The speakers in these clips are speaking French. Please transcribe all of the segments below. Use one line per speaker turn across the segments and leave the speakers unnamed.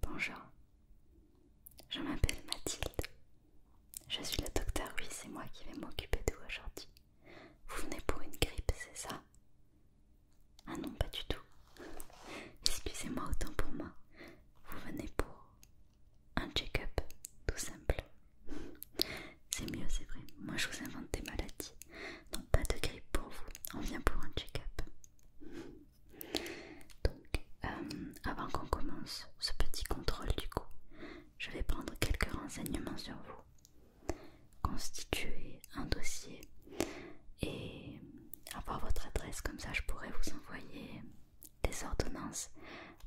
Bonjour, je m'appelle Mathilde. Je suis le docteur, oui, c'est moi qui vais m'occuper de vous aujourd'hui. Vous venez pour une grippe, c'est ça Ah non, pas du tout. Excusez-moi autant pour moi. Vous venez pour un check-up, tout simple. C'est mieux, c'est vrai. Moi, je vous invente des maladies. donc pas de grippe pour vous. On vient pour un check-up. Donc, euh, avant qu'on commence ce petit contrôle du coup, je vais prendre quelques renseignements sur vous, constituer un dossier et avoir votre adresse, comme ça je pourrai vous envoyer des ordonnances,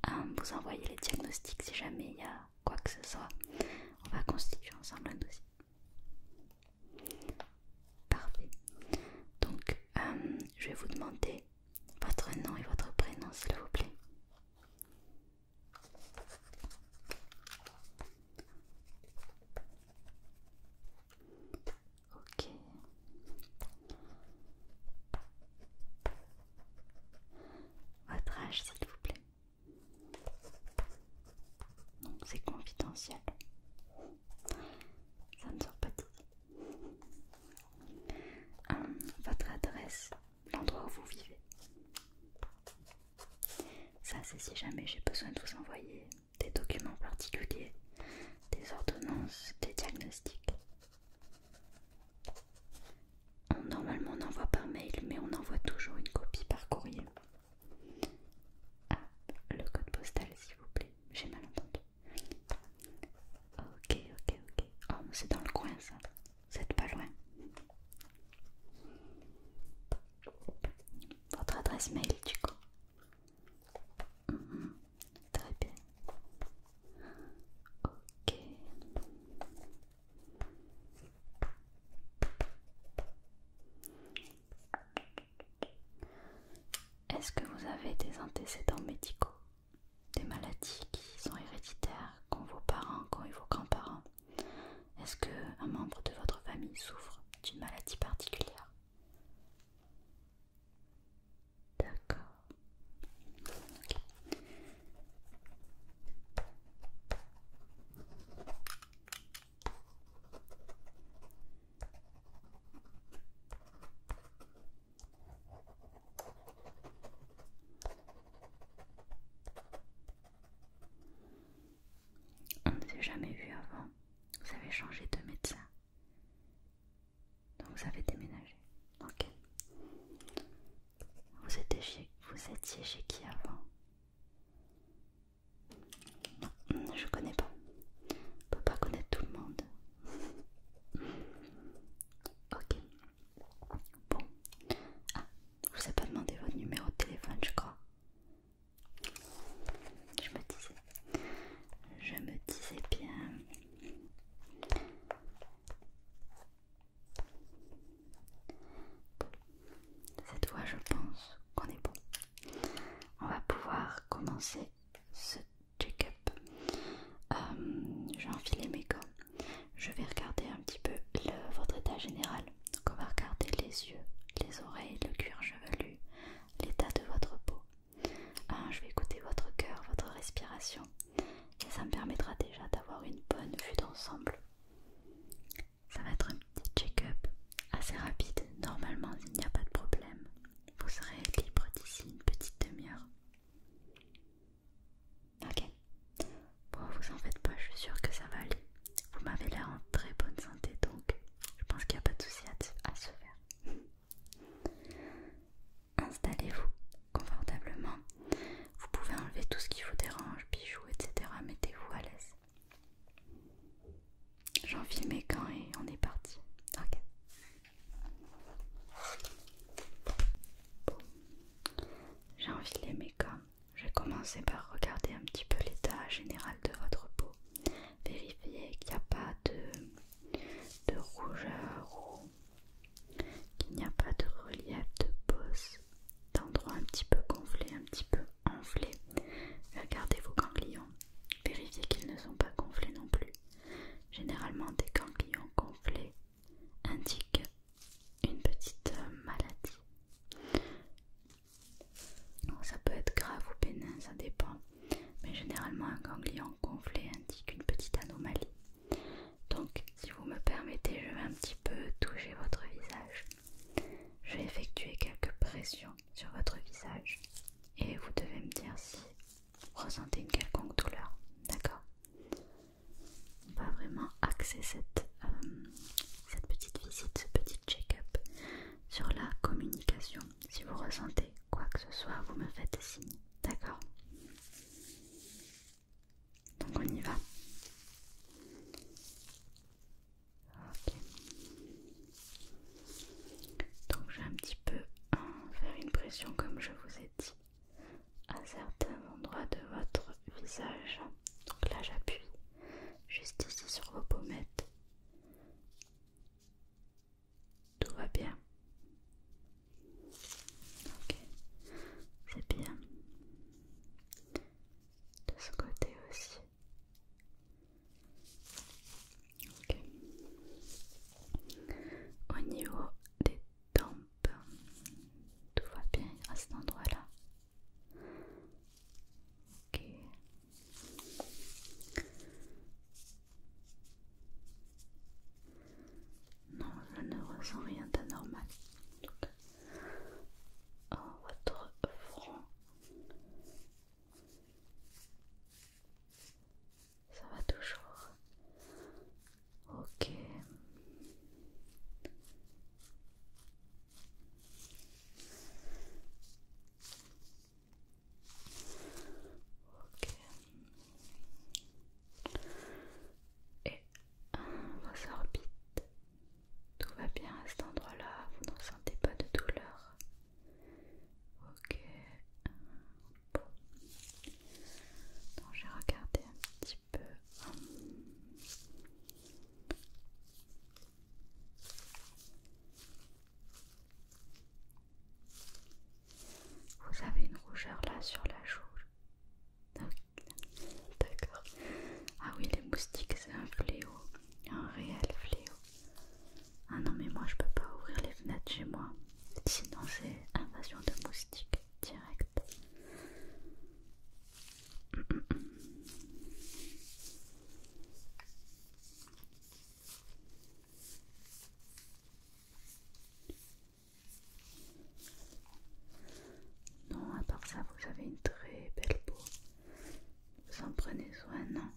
hein, vous envoyer les diagnostics si jamais il y a quoi que ce soit. On va constituer ensemble un dossier. Parfait. Donc, euh, je vais vous demander votre nom et votre prénom, s'il vous plaît. Ok. Votre âge, s'il vous plaît. Donc c'est confidentiel. Ça ne sort pas de hum, votre adresse, l'endroit où vous vivez. Ça c'est si jamais j'ai besoin de vous envoyer des documents particuliers, des ordonnances, des diagnostics. normalement on envoie par mail mais on envoie toujours une copie par courrier ah, le code postal s'il vous plaît, j'ai mal entendu. Ok, ok, ok. Oh, mais c'est dans le coin ça. Vous êtes pas loin. Votre adresse mail du coup. Mhm. très bien. Ok. Est-ce que vous avez des antécédents médicaux Des maladies qui sont héréditaires qu'ont vos parents, qu'ont vos grands-parents Est-ce qu'un membre de votre famille souffre d'une maladie particulière D'accord. On ne s'est jamais vu avant. Vous avez changé de médecin. Donc vous avez déménagé. Ok. Vous vous étiez chez qui avant je connais pas. On peut pas connaître tout le monde. ok. Bon. Ah, je vous ai pas demandé votre numéro de téléphone, je crois. Je me disais. Je me disais bien. Cette fois, je pense qu'on est bon. On va pouvoir commencer ce check-up. Euh, J'ai enfilé mes gants. Je vais regarder un petit peu votre état général. Donc, on va regarder les yeux, les oreilles, le cuir chevelu, l'état de votre peau. Euh, je vais écouter votre cœur, votre respiration. Et ça me permettra déjà d'avoir une bonne vue d'ensemble. Ça va être un petit check-up assez rapide. Normalement, il n'y a pas de problème. Vous serez libre d'ici une petite demi-heure. Ok. Bon, vous en faites pas, je suis sûre que ça va aller. Vous m'avez l'air en très bonne santé, donc je pense qu'il n'y a pas de souci à, se faire. Installez-vous confortablement. Vous pouvez enlever tout ce qui vous dérange, bijoux, etc. Mettez-vous à l'aise. J'enfile mes gants et on est parti. Ok. J'ai enfilé mes gants. Je vais commencer par regarder un petit peu l'état général de votre peau. Vérifiez qu'il n'y a pas de, rougeur ou qu'il n'y a pas de relief de pose, d'endroit un petit peu gonflé un petit peu enflés. Regardez vos ganglions. Vérifiez qu'ils ne sont pas gonflés non plus. Généralement, des ganglions gonflés indiquent une petite euh, maladie. Ça peut être grave ou bénin, ça dépend. Mais généralement, un ganglion gonflé indique une petite anomalie. Donc, si vous me permettez, je vais un petit peu toucher votre visage. Je vais effectuer quelques pressions sur votre visage et vous devez me dire si vous ressentez une quelconque douleur. D'accord On va vraiment axer cette, euh, cette petite visite, ce petit check-up sur la communication. Si vous ressentez quoi que ce soit, vous me faites signe, D'accord donc on y va. Donc je vais un petit peu hein, faire une pression comme je vous ai dit à certains endroits de votre visage. Donc là j'appuie juste ici sur vos pommettes. Tout va bien. Ok, c'est bien. De ce côté aussi. Au niveau des tempes, tout va bien à cet endroit-là. Ok. Non, je ne ressens rien d'anormal. Votre front ça va toujours. Ok. Ok. Et on va tout va bien à cet endroit-là, vous n'en sentez pas de douleur. Ok. Bon. j'ai regardé un petit peu. Vous avez une rougeur là sur la joue. D'accord. Ah oui, les moustiques, c'est un fléau un réel fléau. Ah non mais moi je peux pas ouvrir les fenêtres chez moi, sinon c'est invasion de moustiques direct. Non, à part ça, vous avez une très belle peau. Vous en prenez soin, non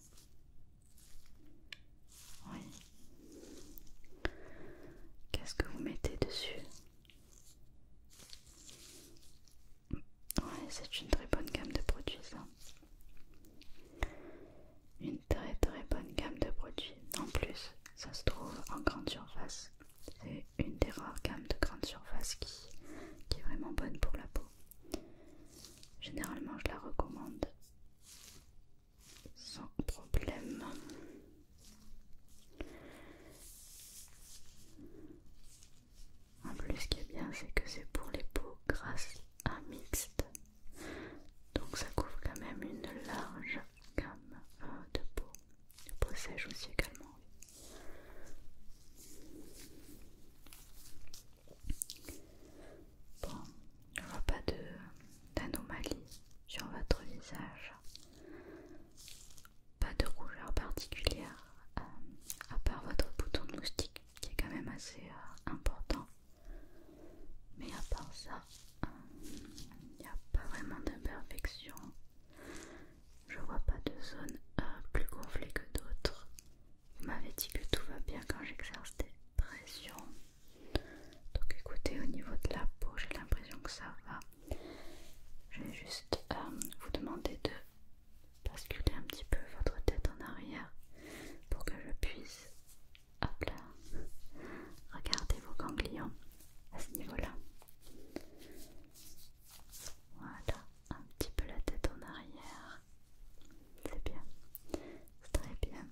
Oui. Qu'est-ce que vous mettez dessus Ouais, c'est une très bonne gamme de produits, ça. Une très très bonne gamme de produits. En plus, ça se trouve en grande surface. C'est une des rares gammes de grande surface qui, qui est vraiment bonne pour la peau. Généralement, je la recommande sans problème. En plus, ce qui est bien, c'est que c'est pour les peaux grasses à mixte. Donc ça couvre quand même une large gamme euh, de peaux. De peaux sèches aussi également. Bon, je vois pas d'anomalie sur votre visage. Pas de rougeur particulière, euh, à part votre bouton de moustique qui est quand même assez euh, important. Mais à part ça, euh, il n'y a pas vraiment d'imperfection. Je vois pas de zone euh, plus gonflée que d'autres. Vous m'avez dit que tout va bien quand j'exerce des pressions. Donc écoutez, au niveau de la peau, j'ai l'impression que ça va. Je vais juste euh, vous demander de basculer un petit peu votre tête en arrière pour que je puisse hop là, regarder vos ganglions à ce niveau-là. Voilà un petit peu la tête en arrière. C'est bien, c'est très bien.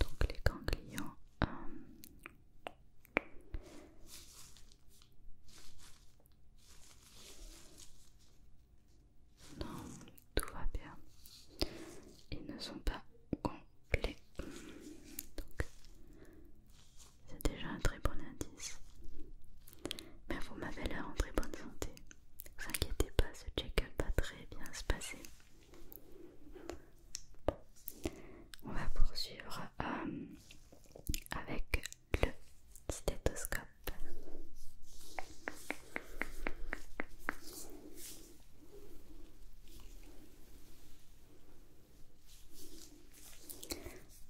Donc les ganglions. Euh. non, tout va bien. Ils ne sont pas ganglés Donc c'est déjà un très bon indice. Mais vous m'avez l'air en très bonne santé. Ne vous inquiétez pas, ce check-up va très bien se passer. On va poursuivre euh, avec le stéthoscope.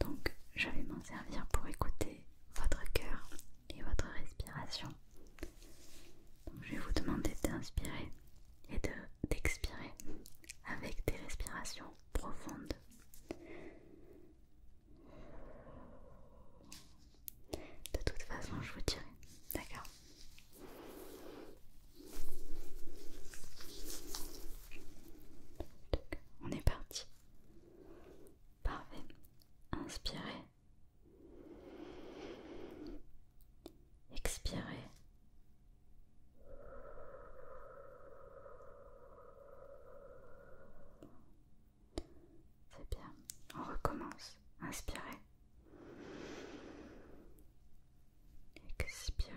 Donc, je vais m'en servir pour écouter votre cœur et votre respiration. je vais vous demander d'inspirer et d'expirer avec des respirations profondes. De toute façon, je vous dirai, d'accord on est parti. Parfait. Inspirez. Expirez. C'est bien. On recommence. Inspirez. Expirez.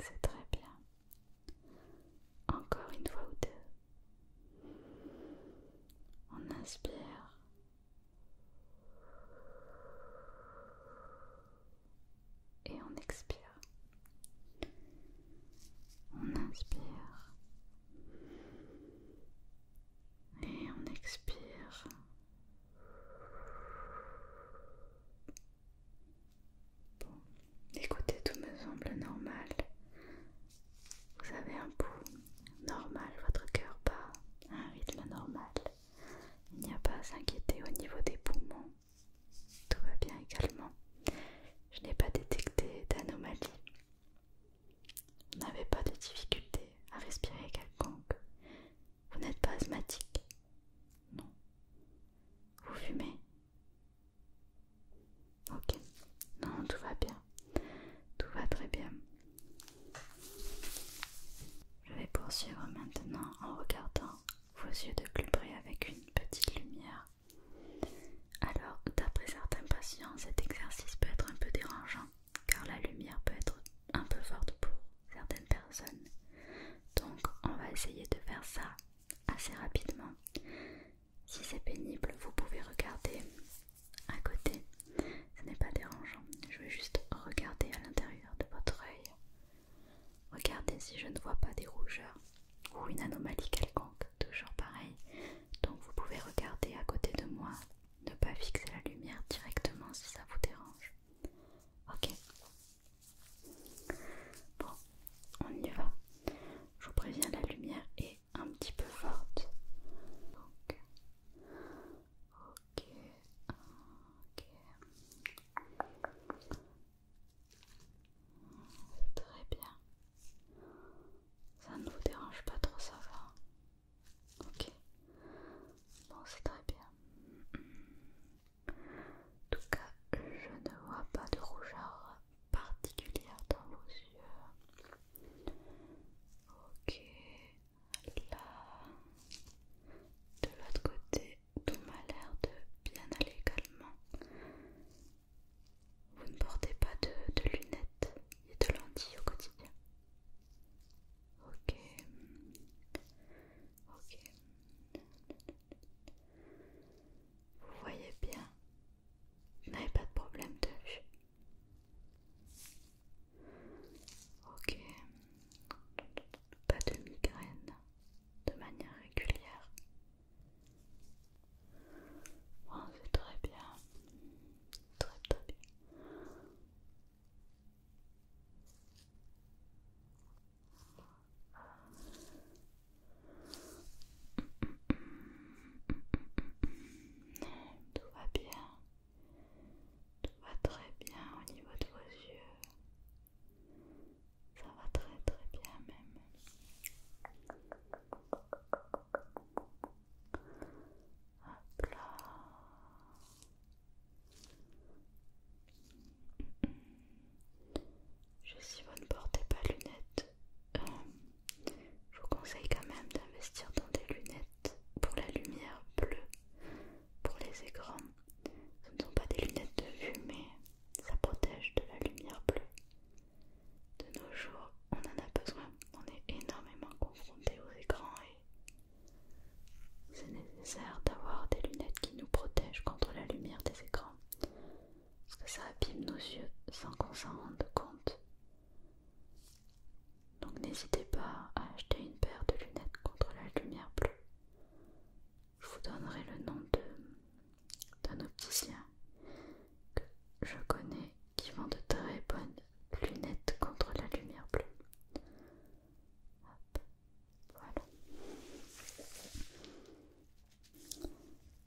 C'est très bien. Encore une fois ou deux. On inspire. Et on expire. On inspire et on expire. Bon, écoutez, tout me semble normal. Vous avez un bout normal, votre cœur bat à un rythme normal. Il n'y a pas à s'inquiéter au niveau des poumons. Tout va bien également. Je n'ai pas détecté d'anomalie vous n'avez pas de difficulté à respirer quelconque. Vous n'êtes pas asthmatique. Non. Vous fumez. Ok. Non, tout va bien. Tout va très bien. Je vais poursuivre maintenant en regardant vos yeux de plus avec une petite lumière. Alors, d'après certains patients, cet exercice peut être un peu dérangeant car la lumière peut être un peu forte pour certaines personnes. Donc, on va essayer de faire ça assez rapidement. Si c'est pénible, vous pouvez regarder à côté. Ce n'est pas dérangeant. Je vais juste regarder à l'intérieur de votre œil. Regardez si je ne vois pas des rougeurs ou une anomalie quelconque toujours pareil. Donc vous pouvez regarder à côté de moi, ne pas fixer la lumière directement si ça vous dérange. Ok. Bon, on y va. Je vous préviens, la lumière est un petit peu forte. Donc, ok, ok. Très bien. Ça ne vous dérange pas trop, ça va Ok. Bon, c'est très bien. En tout cas, je ne vois pas de rougeur particulière dans vos yeux. Ok. Là, de l'autre côté, tout m'a l'air de bien aller également. Vous ne portez pas de, lunettes et de lentilles au quotidien. Ok. Ok. Vous voyez bien. Vous n'avez pas de problème de vue. Ok. Pas de migraine de manière régulière. Oh, très bien. Très très bien. Tout va bien. Tout va très bien au niveau de vos yeux. Ça va très très bien même. Hop là. Je si vous ne portez pas lunettes, euh, je vous conseille quand même d'investir dans des lunettes pour la lumière bleue, pour les écrans. Ce ne sont pas des lunettes de vue, mais ça protège de la lumière bleue. De nos jours, on en a besoin. On est énormément confronté aux écrans et c'est nécessaire d'avoir des lunettes qui nous protègent contre la lumière des écrans. Parce que ça abîme nos yeux sans qu'on s'en rende compte. Donc n'hésitez pas à acheter une paire de lunettes contre la lumière bleue. Je vous donnerai le nom d'un opticien que je connais qui vend de très bonnes lunettes contre la lumière bleue. Hop, voilà.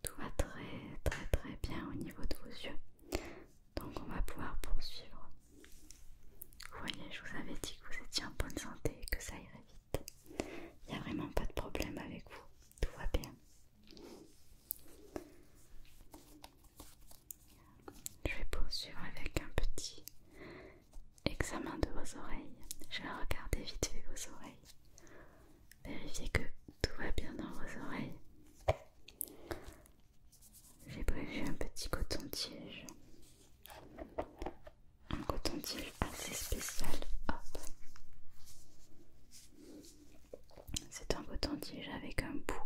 Tout va très très très bien au niveau de vos yeux. Donc on va pouvoir poursuivre. Vous voyez, je vous avais dit que vous étiez en bonne santé et que ça irait vite. Il n'y a vraiment pas de problème avec vous. Tout va bien. Je vais poursuivre avec un petit examen de vos oreilles. Je vais regarder vite fait vos oreilles. Vérifiez que tout va bien dans vos oreilles. J'ai prévu un petit coton tiège Un coton tiège assez spécial. Hop. C'est un coton-tige avec un bout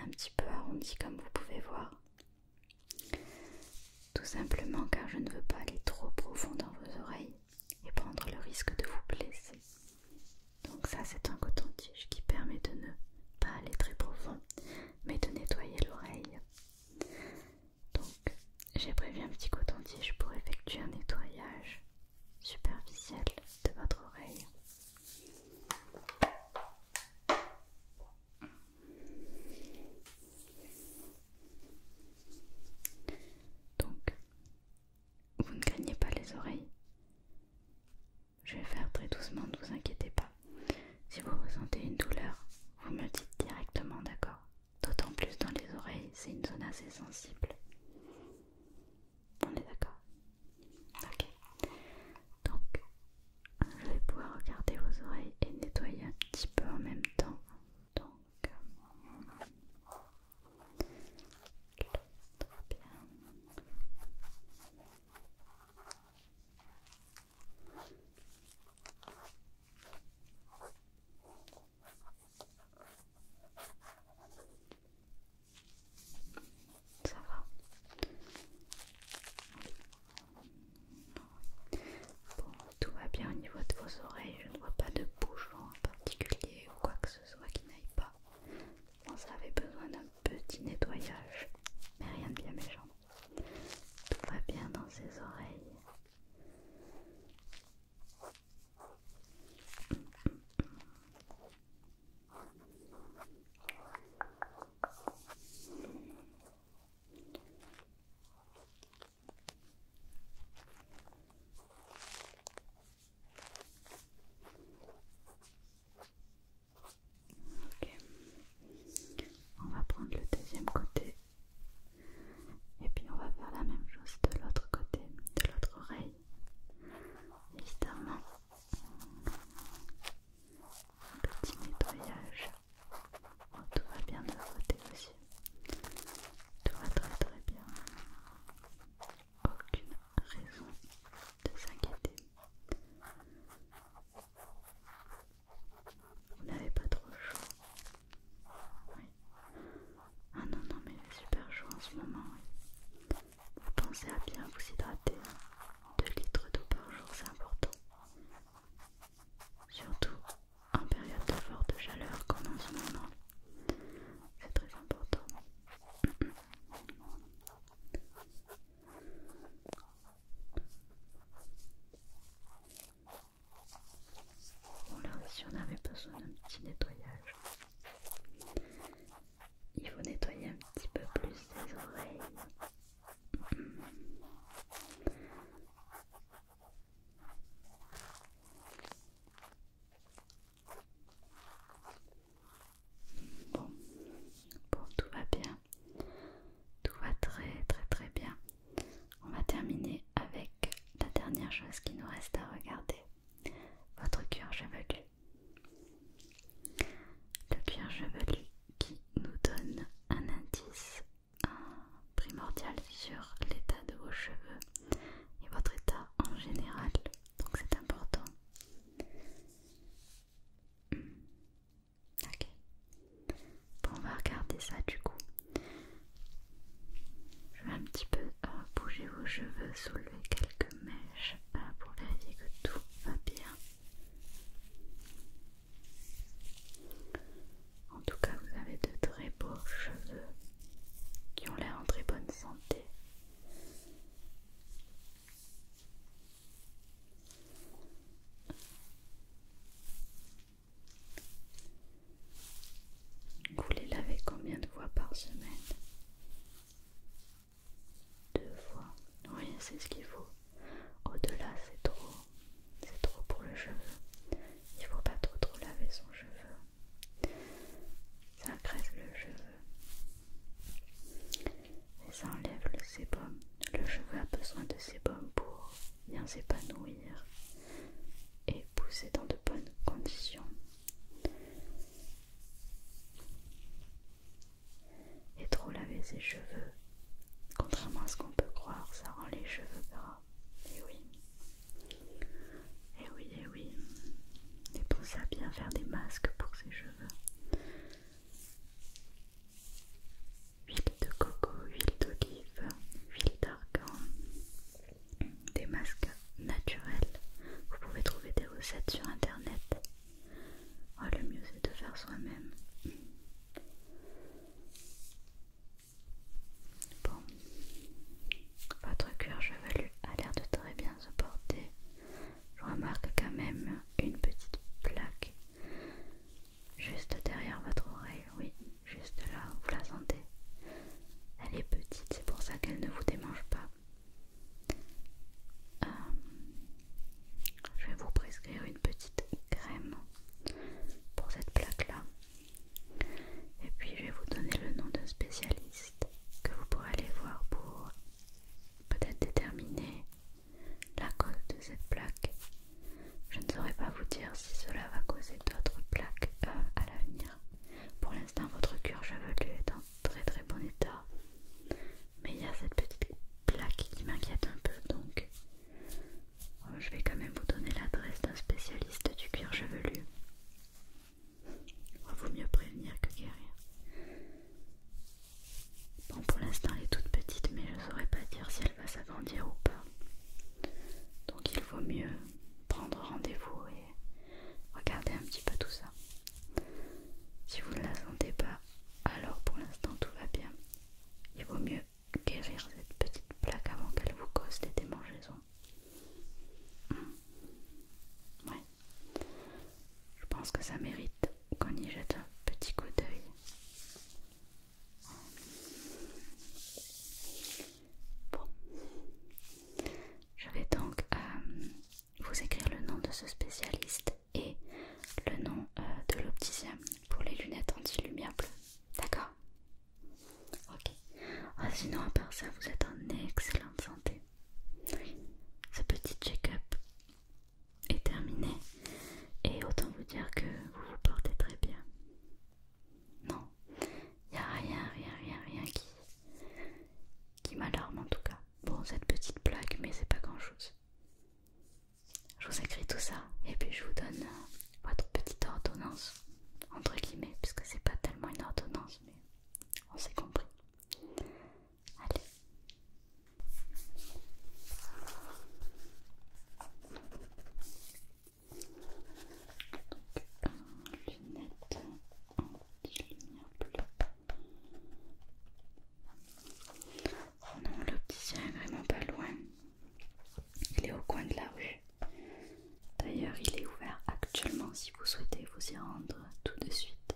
un petit peu arrondi comme vous pouvez voir. Tout simplement car je ne veux pas aller trop profond dans vos oreilles et prendre le risque de vous blesser. Donc ça c'est un coton-tige qui permet de ne pas aller très profond mais de nettoyer l'oreille. Donc j'ai prévu un petit coton-tige pour effectuer un nettoyage superficielle de votre oreille. Donc, vous ne craignez pas les oreilles. Je vais faire très doucement, ne vous inquiétez pas. Si vous ressentez une douleur, vous me dites directement d'accord. D'autant plus dans les oreilles, c'est une zone assez sensible. On est d'accord Ok. Donc, je vais pouvoir regarder vos oreilles et nettoyer un petit peu en même temps. Donc, bien. Ça va Bon, tout va bien au niveau de vos oreilles, je ne vois pas de bouchon en particulier ou quoi que ce soit qui n'aille pas. Bon, ça avait besoin d'un petit nettoyage, mais rien de bien méchant. Tout va bien dans ses oreilles. On va prendre le deuxième côté et puis on va faire la même chose de l'autre côté, de l'autre oreille évidemment un petit nettoyage. Oh, tout va bien de côté aussi. Tout va très très bien. Aucune raison de s'inquiéter. Vous n'avez pas trop chaud. Oui. Ah non, non, mais il est super chaud en ce moment. Pensez à bien vous hydrater. 2 litres d'eau par jour, c'est important. Surtout en période de forte chaleur comme en ce moment. C'est très important. Bon là ici, on avait besoin d'un petit nettoyage. Il faut nettoyer un petit peu plus les oreilles. Bon, bon, tout va bien. Tout va très très très bien. On va terminer avec la dernière chose qui nous reste à regarder votre cuir chevelu. Le cuir chevelu qui nous donne un indice primordial sur l'état de vos cheveux et votre état en général, donc c'est important. Ok, on va regarder ça du coup. Je vais un petit peu bougez vos cheveux, soulevez quelques mèches hein, pour vérifier que tout va bien. En tout cas, vous avez de très beaux cheveux qui ont l'air en très bonne santé. Vous les lavez combien de fois par semaine Deux fois. Oui, c'est ce qu'il faut. Au-delà, c'est trop. C'est trop pour le cheveu. Il faut pas trop trop laver son cheveu. Ça crève le cheveu. Et ça enlève le sébum. Le cheveu a besoin de sébum pour bien s'épanouir et pousser dans de bonnes conditions. Et trop laver ses cheveux, contrairement à ce qu'on peut croire, ça rend les cheveux gras. Et eh oui. Et eh oui, et eh oui. Et pour ça, bien faire des masques pour ses cheveux. Huile de coco, huile d'olive, huile d'argan, des masques naturels. Vous pouvez trouver des recettes sur internet. Oh, le mieux c'est de faire soi-même. Bon, votre cuir chevelu a l'air de très bien se porter. Je remarque quand même une petite plaque juste derrière votre oreille. Oui, juste là, vous la sentez. Elle est petite, c'est pour ça qu'elle ne vous démange pas. Euh, je vais vous prescrire une petite crème pour cette plaque-là. Et puis je vais vous donner le nom d'un spécialiste que vous pourrez aller voir pour peut-être déterminer la cause de cette plaque. Je ne saurais pas vous dire si cela va causer d'autres plaques euh, à l'avenir. Pour l'instant, votre cuir chevelu est en très très bon état. Mais il y a cette petite plaque qui m'inquiète un peu, donc euh, je vais quand même vous donner l'adresse d'un spécialiste du cuir chevelu. Il vaut mieux prévenir que guérir. Bon, pour l'instant, elle est toute petite, mais je ne saurais pas dire si elle va s'agrandir ou pas. Donc il vaut mieux prendre rendez-vous et Regardez un petit peu tout ça. Si vous ne la sentez pas, alors pour l'instant tout va bien. Il vaut mieux guérir cette petite plaque avant qu'elle vous cause des démangeaisons. Hmm. Ouais. Je pense que ça mérite qu'on y jette un petit coup d'œil. Bon. Je vais donc euh, vous écrire le nom de ce spécialiste et le nom euh, de l'opticien pour les lunettes anti-lumière bleue. D'accord Ok. Oh, sinon, à part ça, vous êtes en excellente santé. Ce petit check-up est terminé et autant vous dire que vous vous portez très bien. Non Y'a Il n'y a rien, rien, rien, rien qui, m'alarme en tout cas. Bon, cette petite plaque, mais c'est pas grand-chose. Je vous écris tout ça et puis je vous donne euh, votre petite ordonnance, entre guillemets, Puisque c'est pas tellement une ordonnance, mais on s'est compris. Allez. Donc, euh, lunettes Oh non, l'opticien est vraiment pas loin. Il est au coin de la rue. D'ailleurs, il est ouvert actuellement si vous souhaitez vous y rendre tout de suite.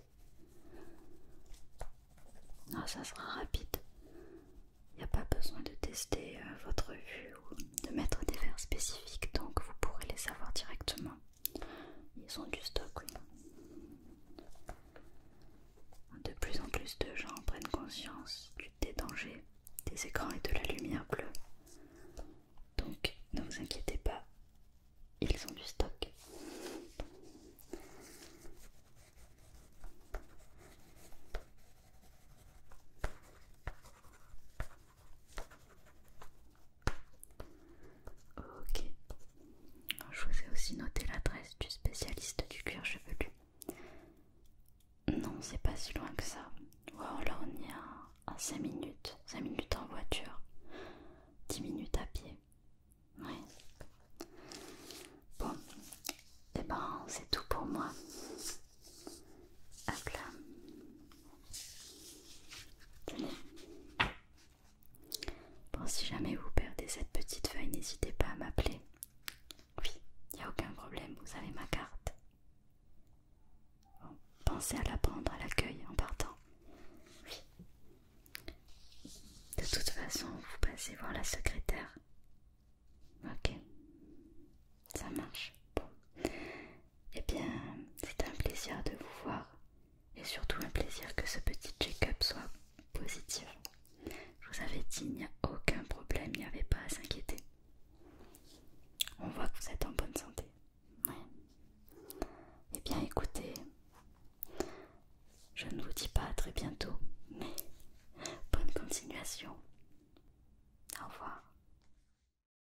Non, ça sera rapide. Il n'y a pas besoin de tester euh, votre vue ou de mettre des verres spécifiques, donc vous pourrez les savoir directement. Ils ont du stock, De plus en plus de gens prennent conscience des dangers des écrans et de la lumière bleue. Donc ne vous inquiétez pas, ils ont du stock. Ok. Je vous ai aussi noté l'adresse du spécialiste du cuir chevelu. Non, c'est pas si loin que ça. Wow, on est à 5 minutes. 5 minutes en voiture. 10 minutes à pied. Oui. Bon. Et eh ben c'est tout pour moi. Hop là. Bon, si jamais vous perdez cette petite feuille, n'hésitez pas à m'appeler. Oui, il n'y a aucun problème, vous avez ma carte. Bon, pensez à la prendre à l'accueil en partant. Oui. De toute façon, vous passez voir la secrétaire. Ok, ça marche. Bon, eh bien, c'est un plaisir de vous voir et surtout un plaisir que ce petit check-up soit positif. Je vous avais dit, il n'y a aucun problème, il n'y avait pas à s'inquiéter. On voit que vous êtes en bonne santé. Eh bien, écoutez, je ne vous dis pas à très bientôt, mais bonne continuation. Au revoir.